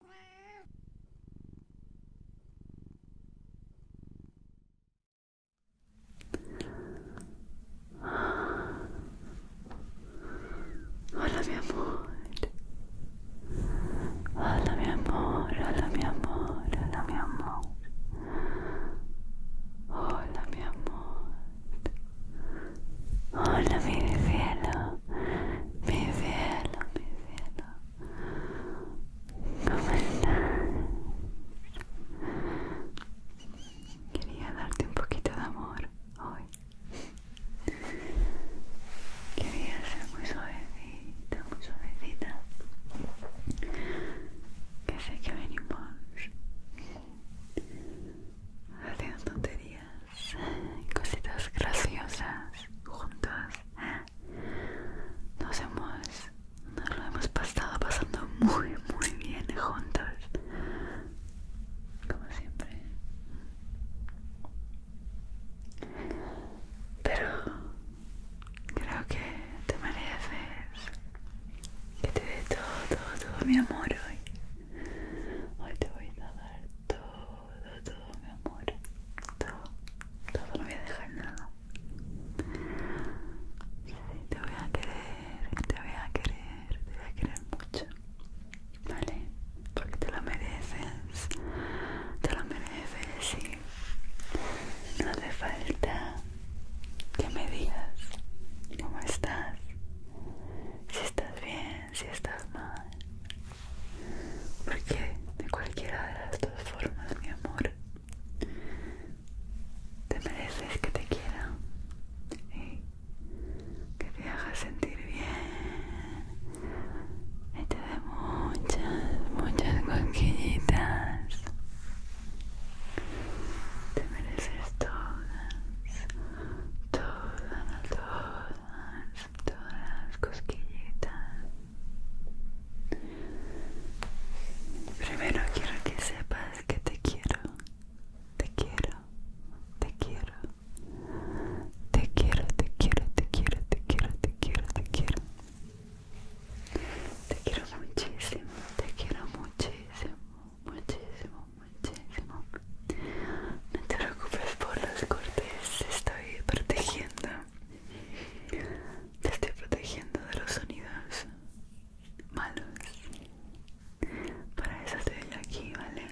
Hola mi amor. Hola mi amor, hola mi amor, hola mi amor. Hola mi amor. Hola mi cielo, mi cielo, mi cielo, Quería darte un poquito de amor hoy. Quería ser muy suavecita, muy suavecita. Que sé que venimos haciendo tonterías cositas graciosas juntos. Nos hemos, nos lo hemos pasado pasando muy, muy bien juntos, como siempre. Pero creo que te mereces que te dé todo, todo, todo mi amor hoy. Hoy te voy a dar todo todo, todo mi amor. Todo, todo, no voy a dejar nada. te voy a querer, te voy a querer, te voy a querer mucho. ¿Vale? Porque te lo mereces. Te lo mereces y no hace falta que me digas cómo estás. Si estás bien si estás mal. Porque de cualquiera de las dos formas, mi amor, te mereces que te quiera y que te haga sentir bien y te dé muchas, muchas cosquillitas. Te mereces todas, todas, todas, todas cosquillitas. Primero quiero que sepas que te quiero, te quiero, te quiero, te quiero, te quiero, te quiero, te quiero, te quiero, te quiero. Te quiero muchísimo, te quiero muchísimo, muchísimo, muchísimo. No te preocupes por los cortes, estoy estoy protegiendo. Te estoy protegiendo de los sonidos malos. Para eso estoy aquí, ¿vale?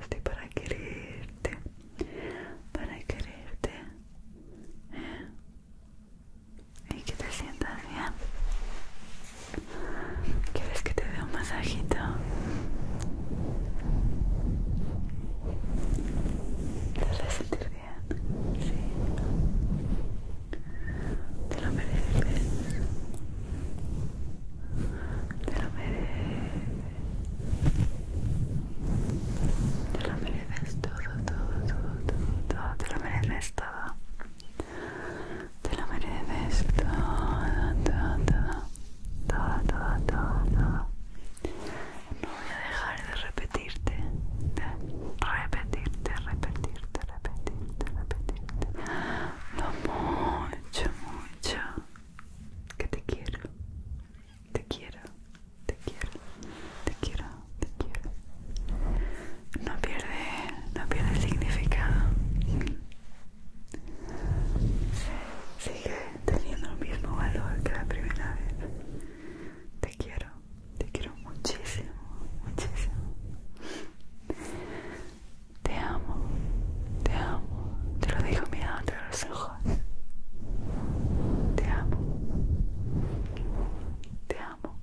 Estoy para quererte. Para quererte. ¿eh? Y que te sientas bien. ¿Quieres que te dé un masajito? Te hace sentir bien, sí. Te lo mereces. Te lo mereces. Te lo mereces todo, todo, todo, todo, todo. Te lo mereces todo. Te lo mereces todo, todo, todo todo, todo, todo, todo. No voy a dejar de repetirte, repetirte, repetirte, repetirte, repetirte. Lo mucho, mucho que te quiero, te quiero, te quiero, te quiero, te quiero. No pierde, no pierde significado. Sigue teniendo el mismo valor que la primera vez. Te quiero, te quiero muchísimo, muchísimo. Te amo, te amo. Te lo digo mirándote entre los ojos. Te amo. Te amo.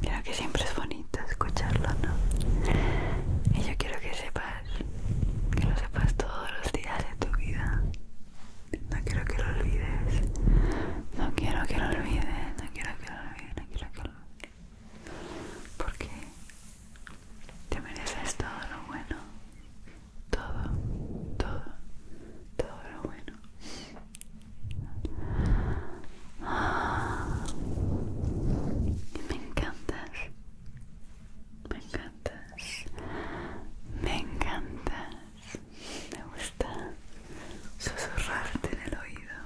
Creo ah. que siempre es bonito escucharlo, ¿no? Y yo quiero que sepas, que lo sepas todos los días de tu vida. No quiero que lo olvides. No quiero que lo olvides. No quiero que lo olvides. No quiero que lo olvides. Porque te mereces todo lo bueno. Todo, todo, todo lo bueno. Me encantas, me encantas, me encantas. Me gusta susurrarte en el oído.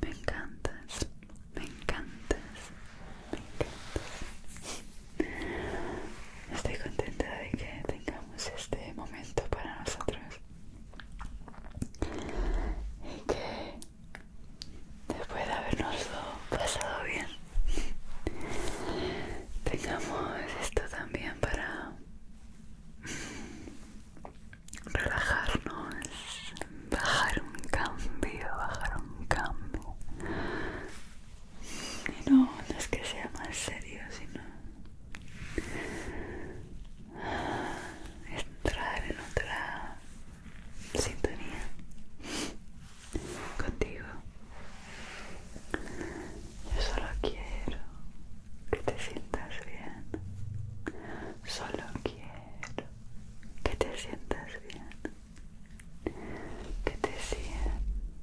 Me encantas, me encantas, me encantas. Estoy contenta de que tengamos este momento para nosotros y que después de habernos pasado bien tengamos esto también para relajarnos bajar un cambio bajar un cambio y no, no es que sea más serio sino entrar en otra sintonía contigo. Yo solo quiero que te sientas bien. Solo quiero que te sientas bien. Que te sientas bien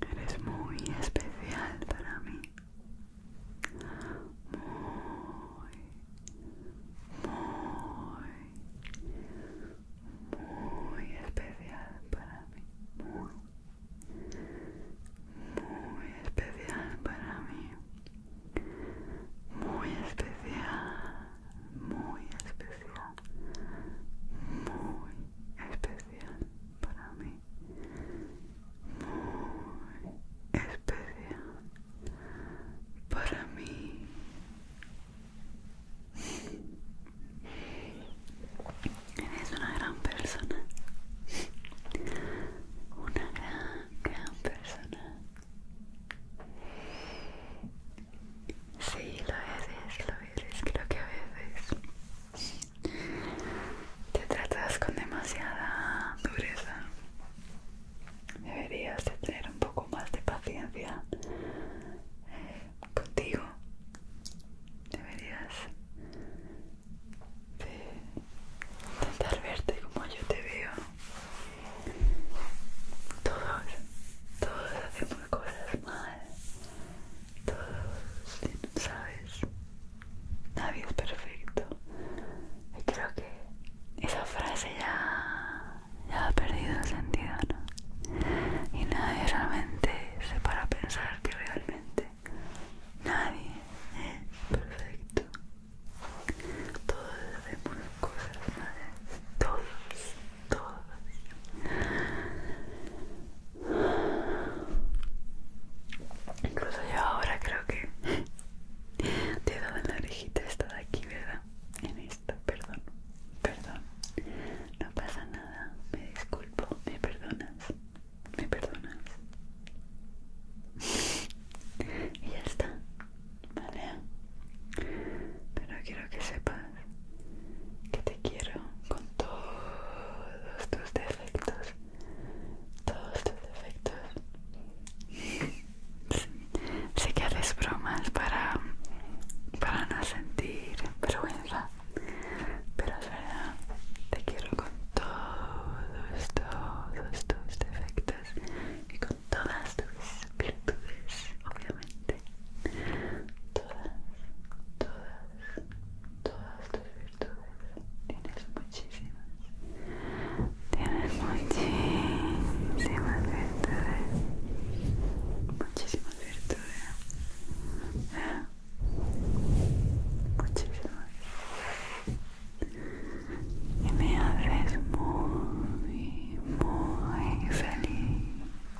Eres muy especial para mí. Muy, muy, muy especial para mí. Muy, muy especial para mí. Muy especial muy especial, muy especial para mí, muy especial para mí. Eres una gran persona, una gran, gran persona. Sí, lo eres, lo eres, creo que a veces te tratas con demasiada dureza. Deberías de tener un poco más de paciencia eh, contigo. Deberías de intentar verte como yo te veo. Todos, todos hacemos cosas mal. Todos, ¿sabes? Nadie es perfecto. Y creo que esa frase ya, ha perdido el sentido, ¿no? Y nadie realmente se para a pensar que realmente nadie es perfecto. Todos hacemos cosas mal todos, todos. Incluso yo ahora creo que te he dado en la orejita esta de aquí, ¿verdad? En esta, perdón, perdón. No pasa nada, me disculpo, me perdonas, me perdonas. y ya está, ¿vale? Pero quiero que sepas que te quiero con todos tus defectos, todos tus defectos. sé que haces bromas para, para no sentir vergüenza, pero es verdad, te quiero con todos, todos tus defectos y con todas tus virtudes todas, todas, todas tus virtudes tienes muchísimas tienes muchísimas virtudes muchísimas virtudes muchísimas y me haces muy muy feliz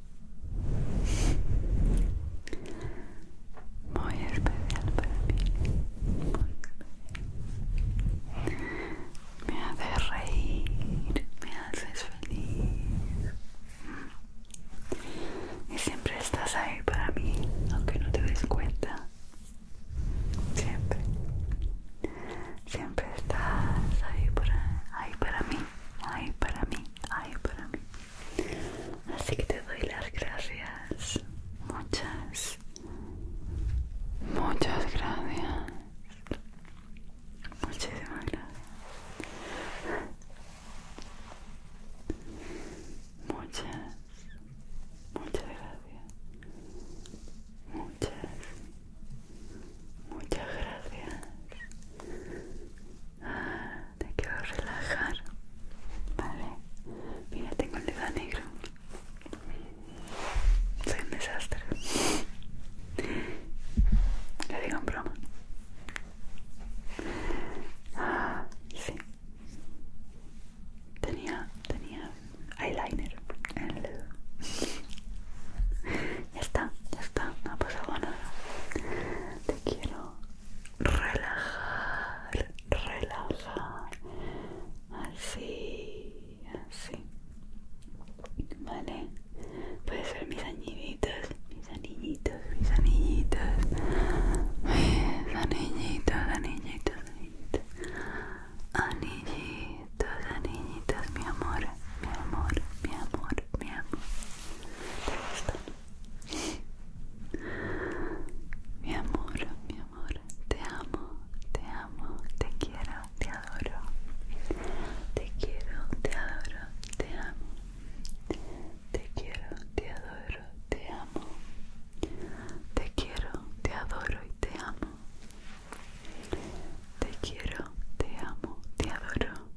Muy especial para mí. Muy especial. Me hace reír, me haces feliz. Y siempre estás ahí para mí, aunque no te des cuenta. Siempre. Siempre estás ahí para, ahí para mí, ahí para mí hay para mí. Así que te doy las gracias. Muchas, muchas gracias. Muchísimas gracias. Muchas, muchas gracias. Muchas, Muchas gracias. Ah, te quiero relajar. Vale. Mira, tengo el dedo negro. Soy un desastre. Le digo en broma. Ah, sí. Tenía, tenía eyeliner en el dedo. Ya está, ya está, no ha pasado nada te quiero relajar, relajar, así, así, vale, puedes ser mis anillitos, mis anillitos, mis anillitos, anillitos, anillitos, anillitos, anillitos, anillitos, mi amor, mi amor, mi amor, mi amor, mi amor, te amo, te amo, te quiero, te adoro. Te quiero, te adoro, te amo. Te quiero, te adoro, te amo. Te quiero, te adoro y te amo. Te quiero, te amo, te adoro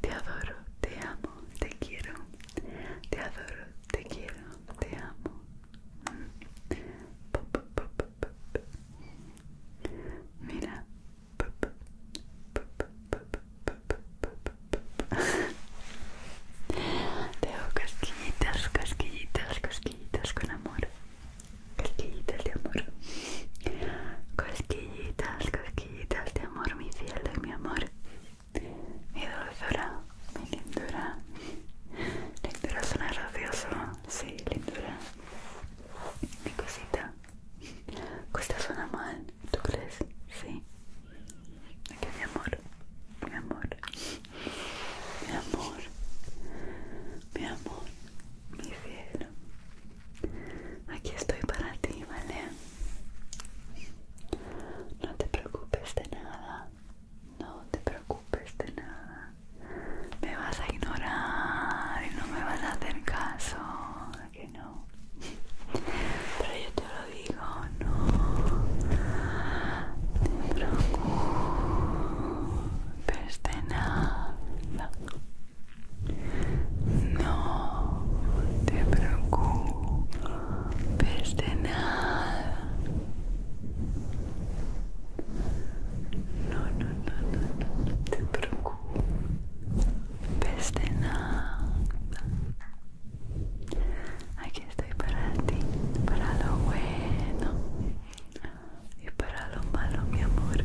te adoro, te amo, te quiero, te adoro, te quiero, te amo. Mira, te hago cosquillitas, cosquillitas, cosquillitas con amor, Cosquillitas de amor, Cosquillitas, casquillitas tal amor, mi cielo mi amor, mi dulzura, mi lindura. Lindura suena gracioso, sí, lindura. Mi cosita. cuesta suena mal, ¿tú crees? Sí. Aquí mi amor, mi amor, mi amor, mi amor, mi cielo, Aquí estoy para ti, ¿vale? No te preocupes de nada. No te preocupes de nada. Me vas a ignorar y no me vas a hacer caso. que no? Pero yo te lo digo, no. Te preocupes de nada. No te preocupes de nada. No, no, no, no, te preocupes de nada. Aquí estoy para ti, para lo bueno y para lo malo, mi amor.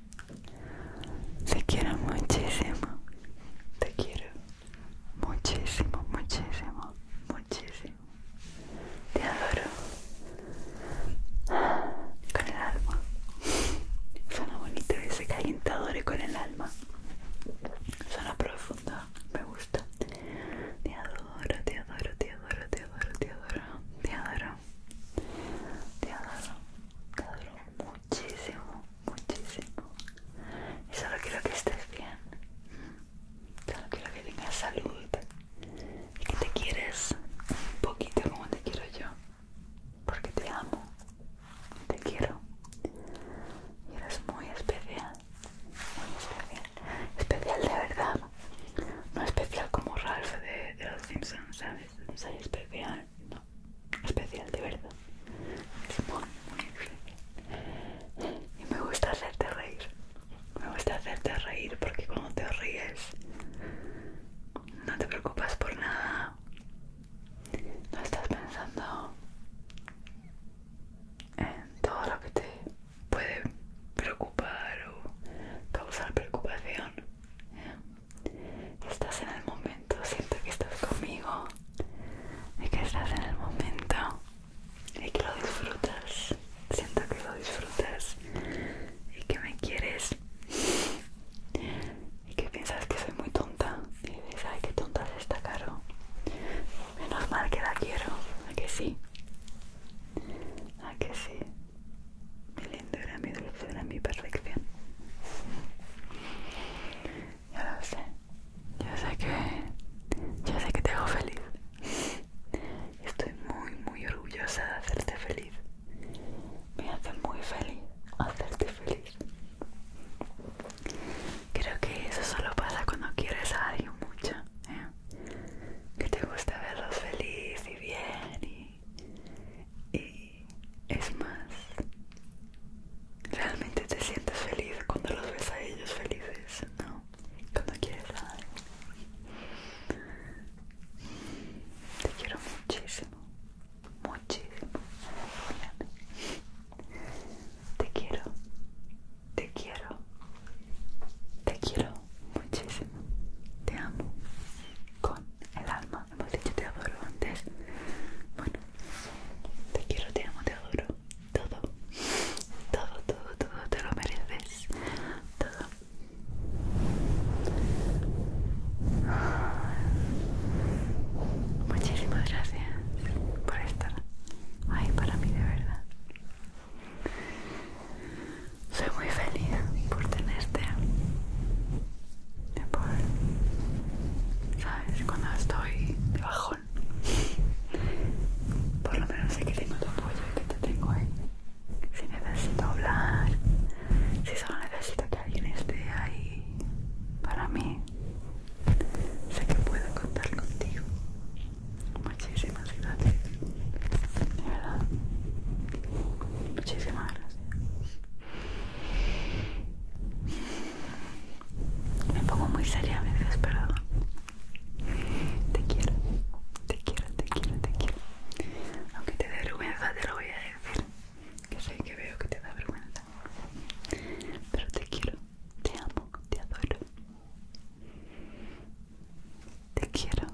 Te quiero muchísimo. Te quiero muchísimo, muchísimo, muchísimo. Te adoro. Con el alma. Suena bonito ese calentador con el alma. Suena profundo. Me gusta. Te adoro, te adoro, te adoro, te adoro, te adoro. Te adoro te adoro te adoro muchísimo muchísimo y solo quiero que estés bien solo quiero que tengas salud y que te quieres un poquito como te quiero yo porque te amo te quiero y eres muy especial muy especial especial de verdad no especial como Ralph de los Simpsons ¿sabes? No soy especial, no, especial de verdad. Es muy, muy especial. Y me gusta hacerte reír. Me gusta hacerte reír porque cuando te ríes no te preocupas por nada. No estás pensando en todo lo que te puede preocupar o causar preocupación. Estás en el momento, siento que estás conmigo, y que estás en el momento y que lo disfrutas. Siento que lo disfrutas y que me quieres y que piensas que soy muy tonta y dices, ay, qué tonta es esta, Caro. Menos mal que la quiero, ¿a que sí? ¿A que sí? Mi lindo era mi era mi perfección. Ya lo sé. Yo sé que. Yo sé que te hago feliz. Estoy muy, muy orgullosa de hacerte feliz. Me hace muy feliz hacerte feliz. Creo que eso solo pasa cuando quieres a alguien mucho. ¿eh? Que te gusta verlos feliz y bien y y es más realmente te sientes feliz cuando los ves a ellos felices no cuando quieres alguien. te quiero muchísimo muchísimo te quiero te quiero te quiero muchísimo te amo el alma. Hemos dicho te adoro antes. Bueno, te quiero, te amo, te adoro. Todo, todo, todo, todo te lo mereces. Todo. Muchísimas gracias por estar ahí para mí de verdad. Soy muy feliz por tenerte. Por, ¿Sabes? Cuando estoy de bajón, por lo menos sé que tengo tu apoyo y que te tengo ahí. Si necesito hablar, si solo necesito que alguien esté ahí para mí, sé que puedo contar contigo. Muchísimas gracias. De verdad. Muchísimas gracias. Me pongo muy seria a veces, perdón. Te quiero, te quiero, te quiero, te quiero. Aunque te dé vergüenza, te lo voy a decir. Que sé que veo que te da vergüenza. Pero te quiero, te amo, te adoro. Te quiero,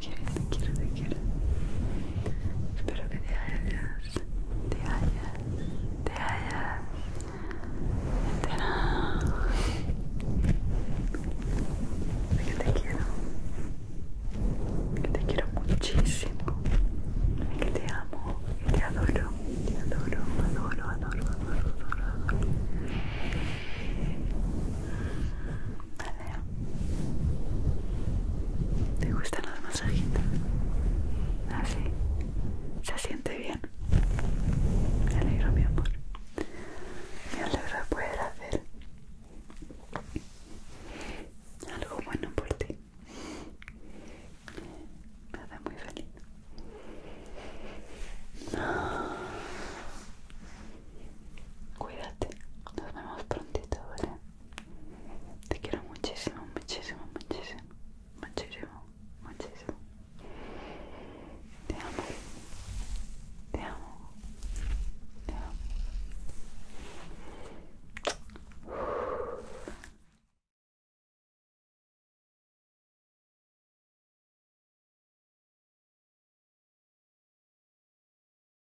quiero, te quiero, te quiero Espero que te hayas, te haya te haya que te quiero, que te quiero muchísimo, que te amo, te adoro, te adoro, adoro, adoro, adoro, adoro. adoro. Vale. ¿Te gustan los masajitos? Así. Ah, Se siente bien. Me alegro, mi amor. Me alegro de poder hacer algo bueno por ti. Me hace muy feliz. Cuídate, nos vemos prontito, ¿vale? Te quiero muchísimo, muchísimo, muchísimo, muchísimo, muchísimo. Te amo, te amo, te amo.